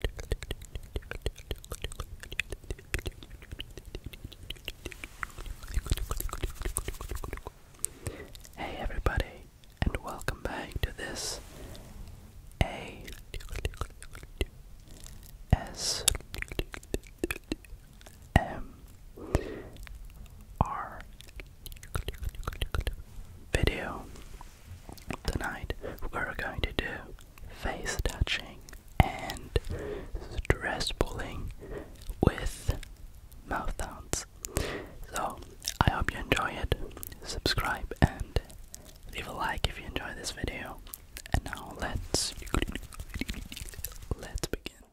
Hey everybody, and welcome back to this A S M R video. Tonight we are going to do face touching and stress pulling with mouth sounds. So I hope you enjoy it. Subscribe and leave a like if you enjoy this video. And now let's let's begin.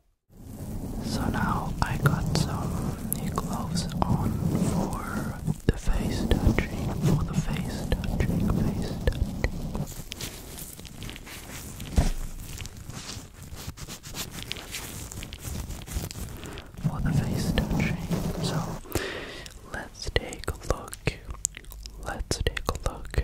So now I got some new clothes on for the face touching for the face touching, face touching. For the face touching. So let's take a look. Let's take a look.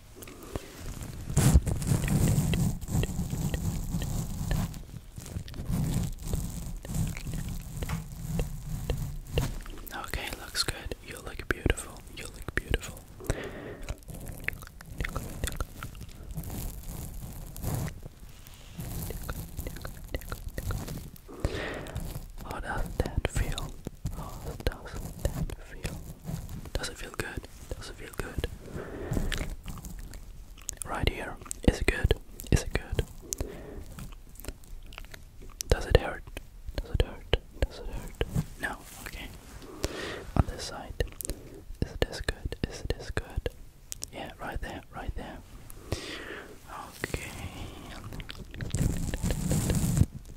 Okay, looks good. You look beautiful. You look beautiful. How does that feel? How does that feel? Does it feel good? Does it feel good? Right here. Is it good? Is it good? Does it hurt? Does it hurt? Does it hurt? No. Okay. On this side. Is this good? Is this good? Yeah, right there, right there. Okay.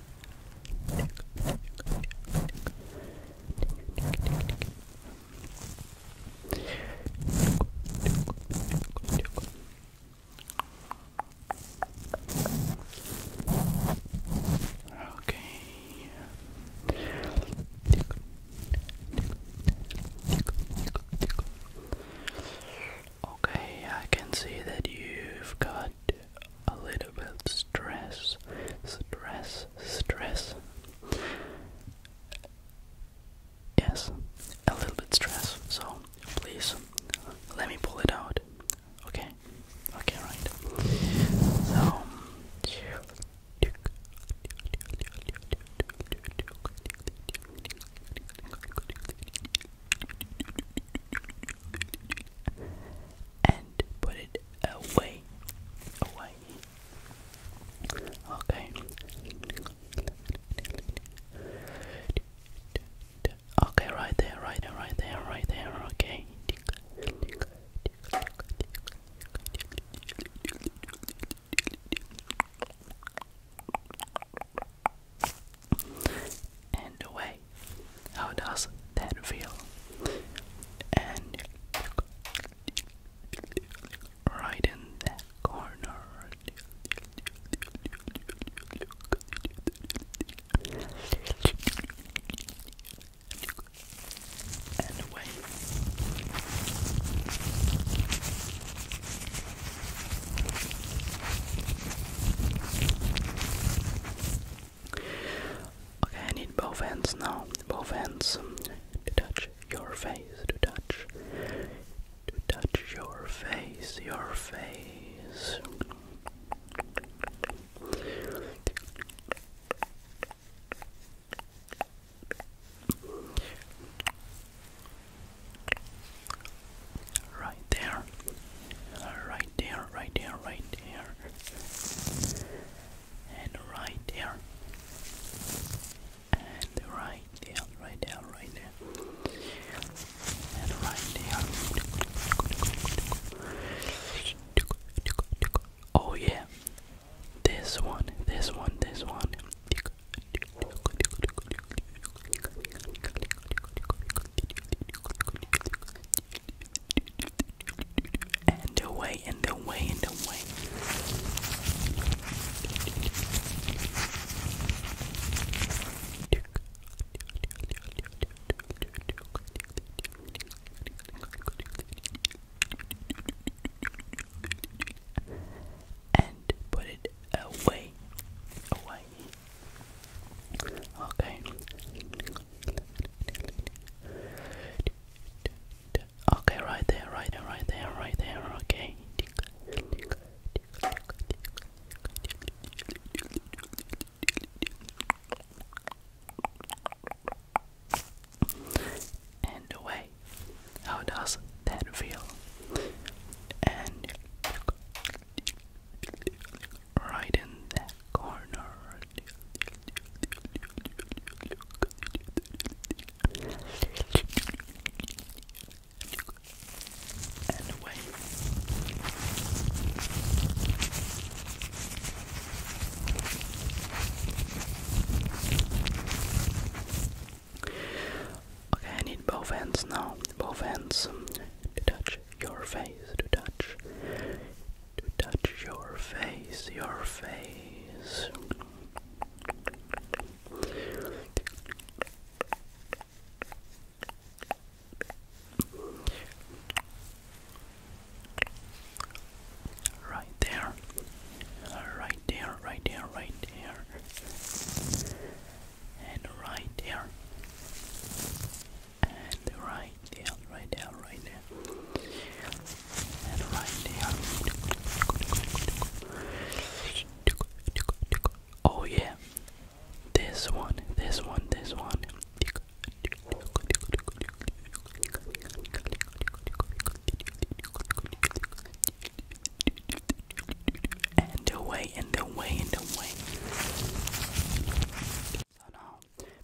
Okay. Okay, I can see that you've got a little bit stress, stress, stress. Yes, a little bit stress. So please let me pull it out. Okay, okay, right. So and put it away. Away. Okay. Okay, right there, right there, right there, right there, okay. And away how does that feel? And right in that corner. And away. Okay, I need both hands now. Both hands um, to touch your face, to touch, to touch your face, your face. Right there, right there, right there, right there, and right there, and right there, right there, right there, and right there. Oh, yeah, this one, this one, this one. And away, and away, and away. And put it away, away, Okay. Okay, right there, right there, right there, right there, okay. And away. How does that feel? right in that corner. Okay, I need both hands now. Both hands to touch your face, to touch, to touch your face, your face. Right there, right there, right there, right there and right there and right there, right there, right there and right there oh yeah this one, this one, this one and away in the way in the way. So now,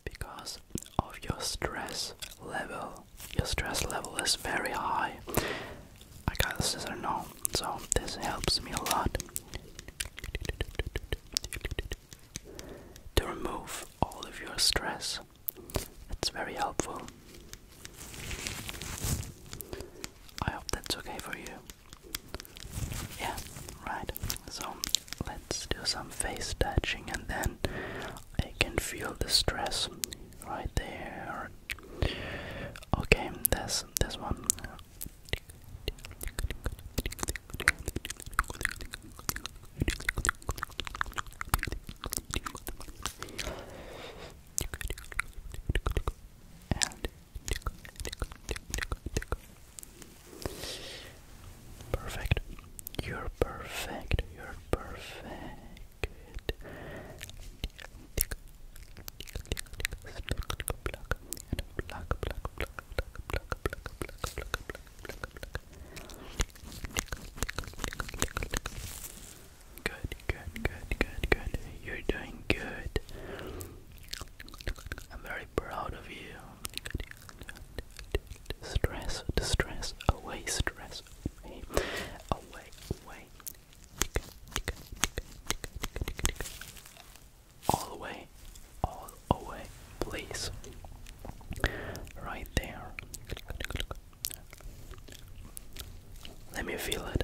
because of your stress level, your stress level is very high. I got the scissor now, so this helps me a lot to remove all of your stress. It's very helpful. I hope that's okay for you. Yeah, right. So let's do some face touching and then I can feel the stress right there. Okay, this this one. Perfect. You're perfect. You're perfect. Good, good, good, good, good. You're doing good. I'm very proud of you. Stress, distress, away, stress, away, away, All away, all away, please. Right there. Let me feel it.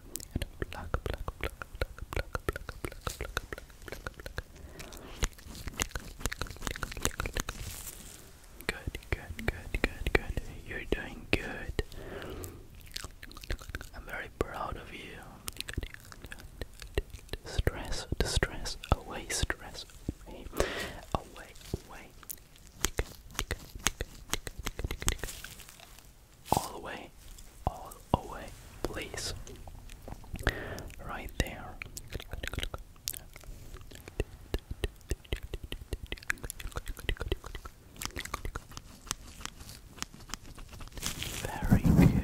Good, good, good, good, good. You're doing good. I'm very proud of you. Stress, distress, away, stress, away, away all the way, all the way, please. Right there. Very good.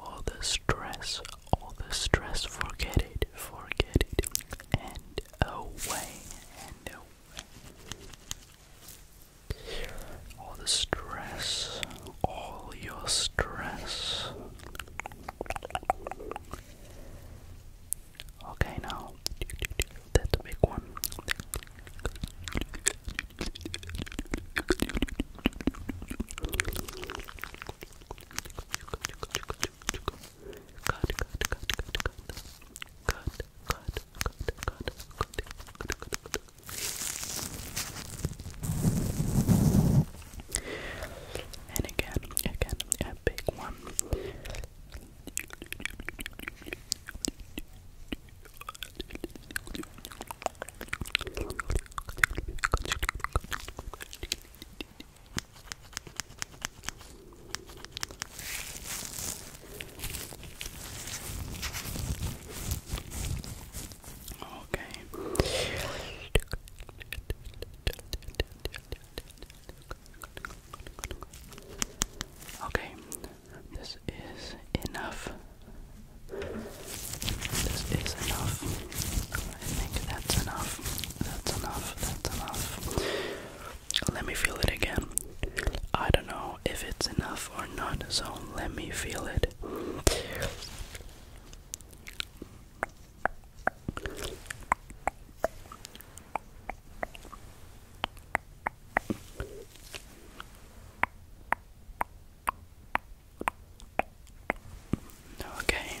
All the stress, all the stress, forget it, forget it, and away and away. All the stress, all your stress. Okay, now that's a big one good. And again, again, a big one. Okay. Okay. This is enough. This is enough think that's enough. That's enough. That's enough. Let me feel it again. I don't know if it's enough or not, so let me feel it. Okay,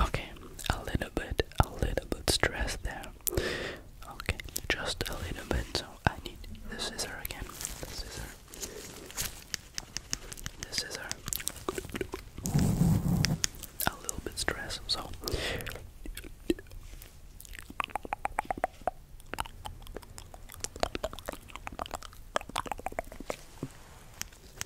Okay, a little bit, a little bit stress there. Okay, just a little bit. So I need the scissor again. The scissor. The scissor. A little bit stress. So.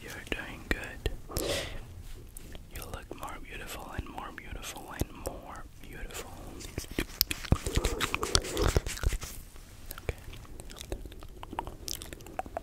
You're doing good. You look more beautiful and more beautiful and more beautiful. Okay.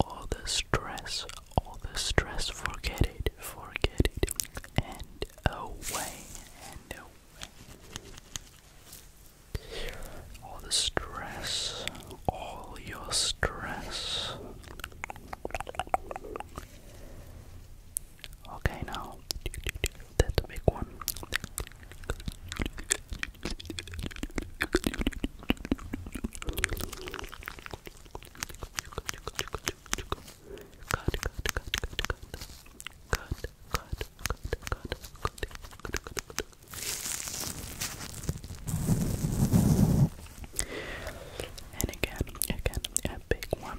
All the stress, all the stress, forget it, forget it, and away, and away. All the stress, all your stress. Okay, now that's a big one. And again, again, a big one.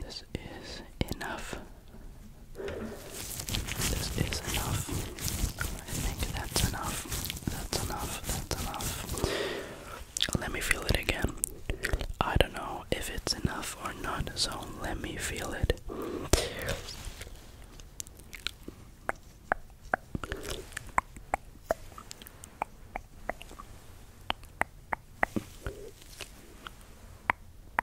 this is enough. This is enough. I think that's enough. That's enough. That's enough. Let me feel it again. I don't know if it's enough or not, so let me feel it.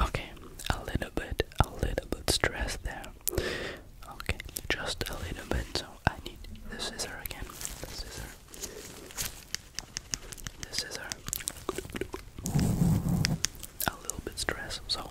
Okay, a little bit, a little bit stressed there. Okay, just a little bit. So I need the scissor again. The scissor. The scissor. A little bit stressed. So.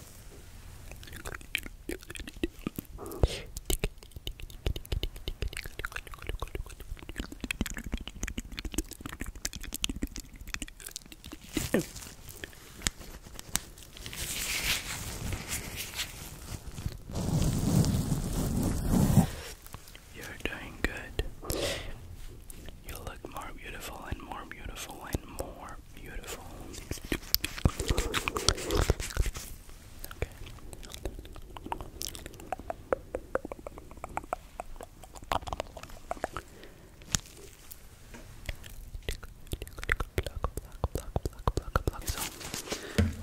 You're doing good. You look more beautiful and more beautiful and more beautiful. Okay.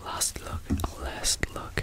last look, last look.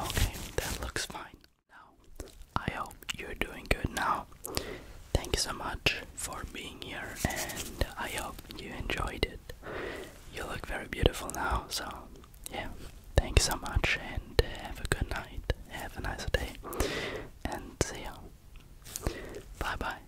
Okay, that looks fine. Now, I hope you're doing good now. Thank you so much for being here, and I hope you enjoyed it. You look very beautiful now, so yeah, Thanks so much, and have a good night, have a nice day, and see you. Bye bye.